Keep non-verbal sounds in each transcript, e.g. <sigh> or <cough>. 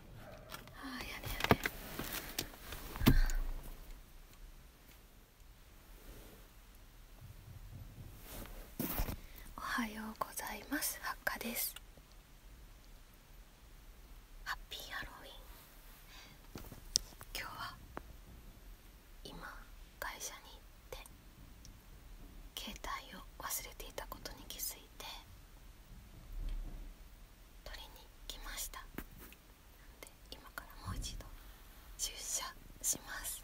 ああやねやねおはようございますハッカですハッピーハロウィン今日は今会社に行って携帯を忘れていたことに気づいて取りに来ました今からもう一度注射します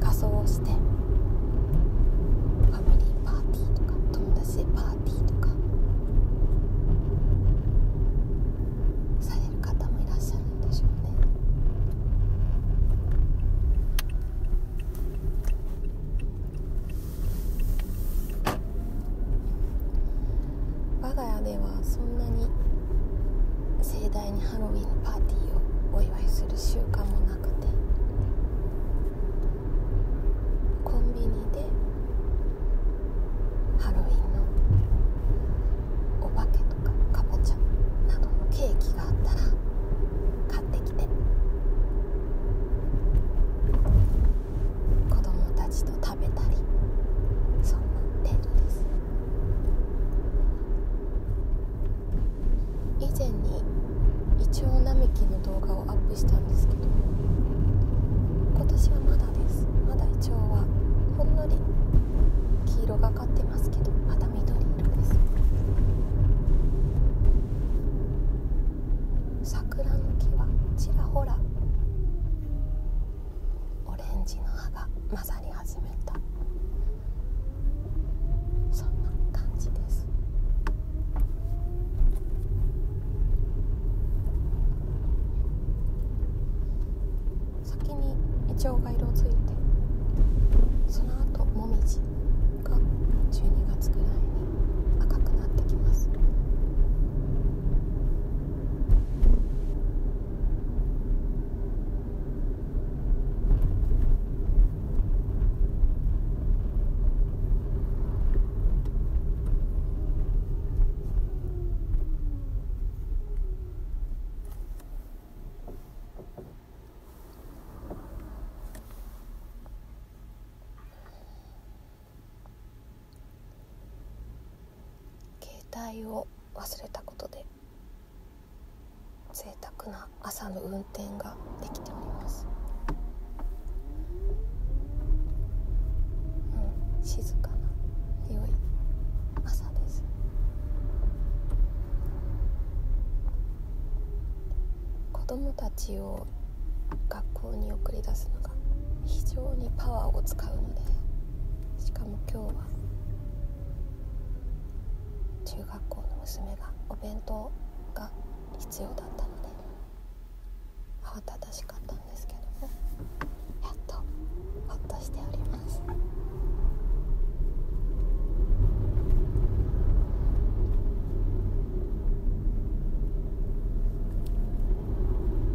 仮装をしてファミリーパーティーとか友達パーティーとかされる方もいらっしゃるんでしょうね我が家ではそんなに盛大代にハロウィンのパーティーをお祝いする習慣もなくてコンビニでハロウィンのお化けとかかぼちゃなどのケーキがあったら買ってきて子供たちと食べたりそんな程度です以前にイチョウ並木の動画をアップしたんですけど今年はまだですまだイチョウはほんのり黄色がかってますけどまだ緑色です桜の木はちらほらオレンジの葉が混ざってます。なり始めたそんな感じです先にイチョウが色づいてその後モミジが12月ぐらいに赤くなってきます携帯を忘れたことで贅沢な朝の運転ができております、うん、静かな良い朝です子供たちを学校に送り出すのが非常にパワーを使うのでしかも今日は中学校の娘がお弁当が必要だったので慌ただしかったんですけどもやっとほっとしております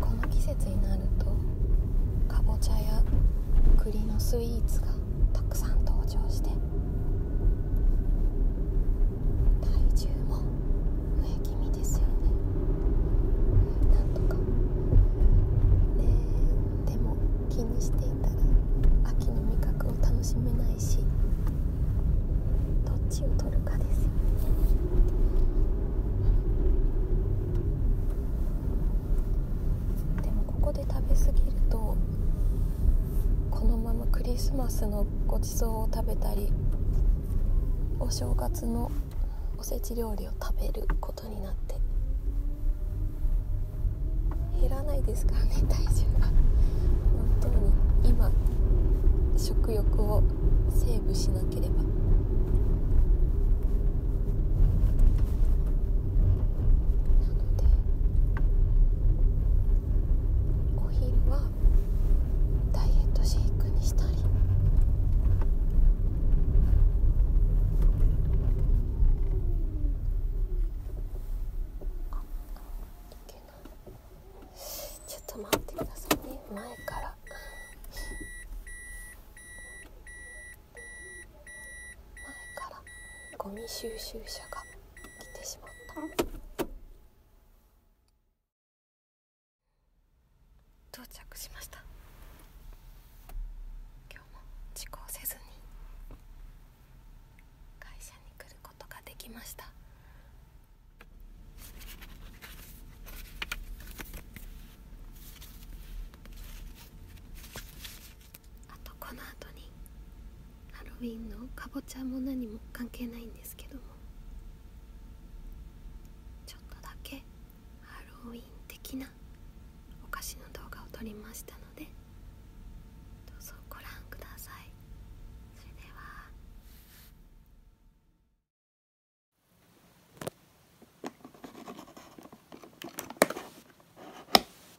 このの季節になると、や栗スイーツがたくさん登場して体重も増え気味ですよねなんとかねえでも気にしていたら秋の味覚を楽しめないしどっちを取るかですよねでもここで食べ過ぎるとこのままクリスマスのごちそうを食べたりお正月のおせち料理を食べることになって減らないですからね <laughs> 体重が本当に今食欲をセーブしなければなのでお昼はダイエットシェイクにしたりあいけないちょっと待ってくださいね前から。前からゴミ収集車が。来てしまった到着しました今日も時効せずに会社に来ることができましたあとこの後にハロウィンのかぼちゃも何も関係ないんですけどもちょっとだけハロウィン的なお菓子の動画を撮りましたのでどうぞご覧くださいそれでは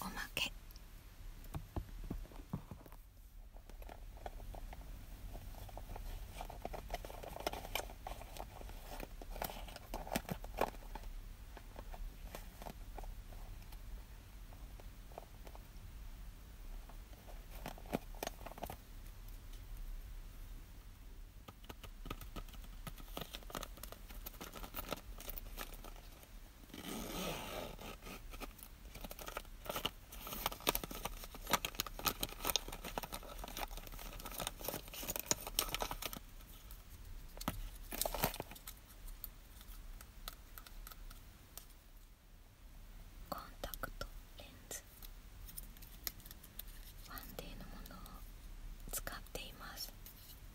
おまけコンタクトレンズファンデーのものを使っています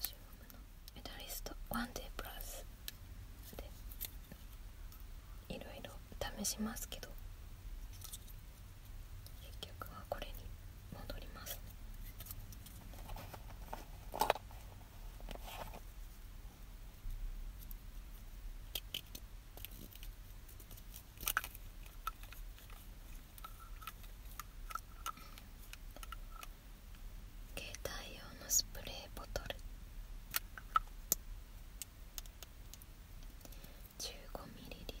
中国のメダリストワンデープラスでいろいろ試しますけど結局はこれに戻ります携帯用のスプレーボトル15ミリリットル。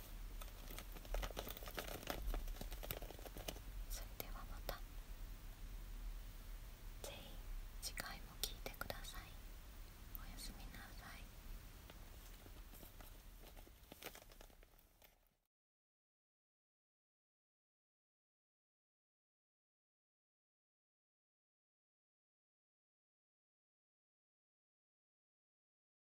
それではまたぜひ次回も聞いてくださいおやすみなさい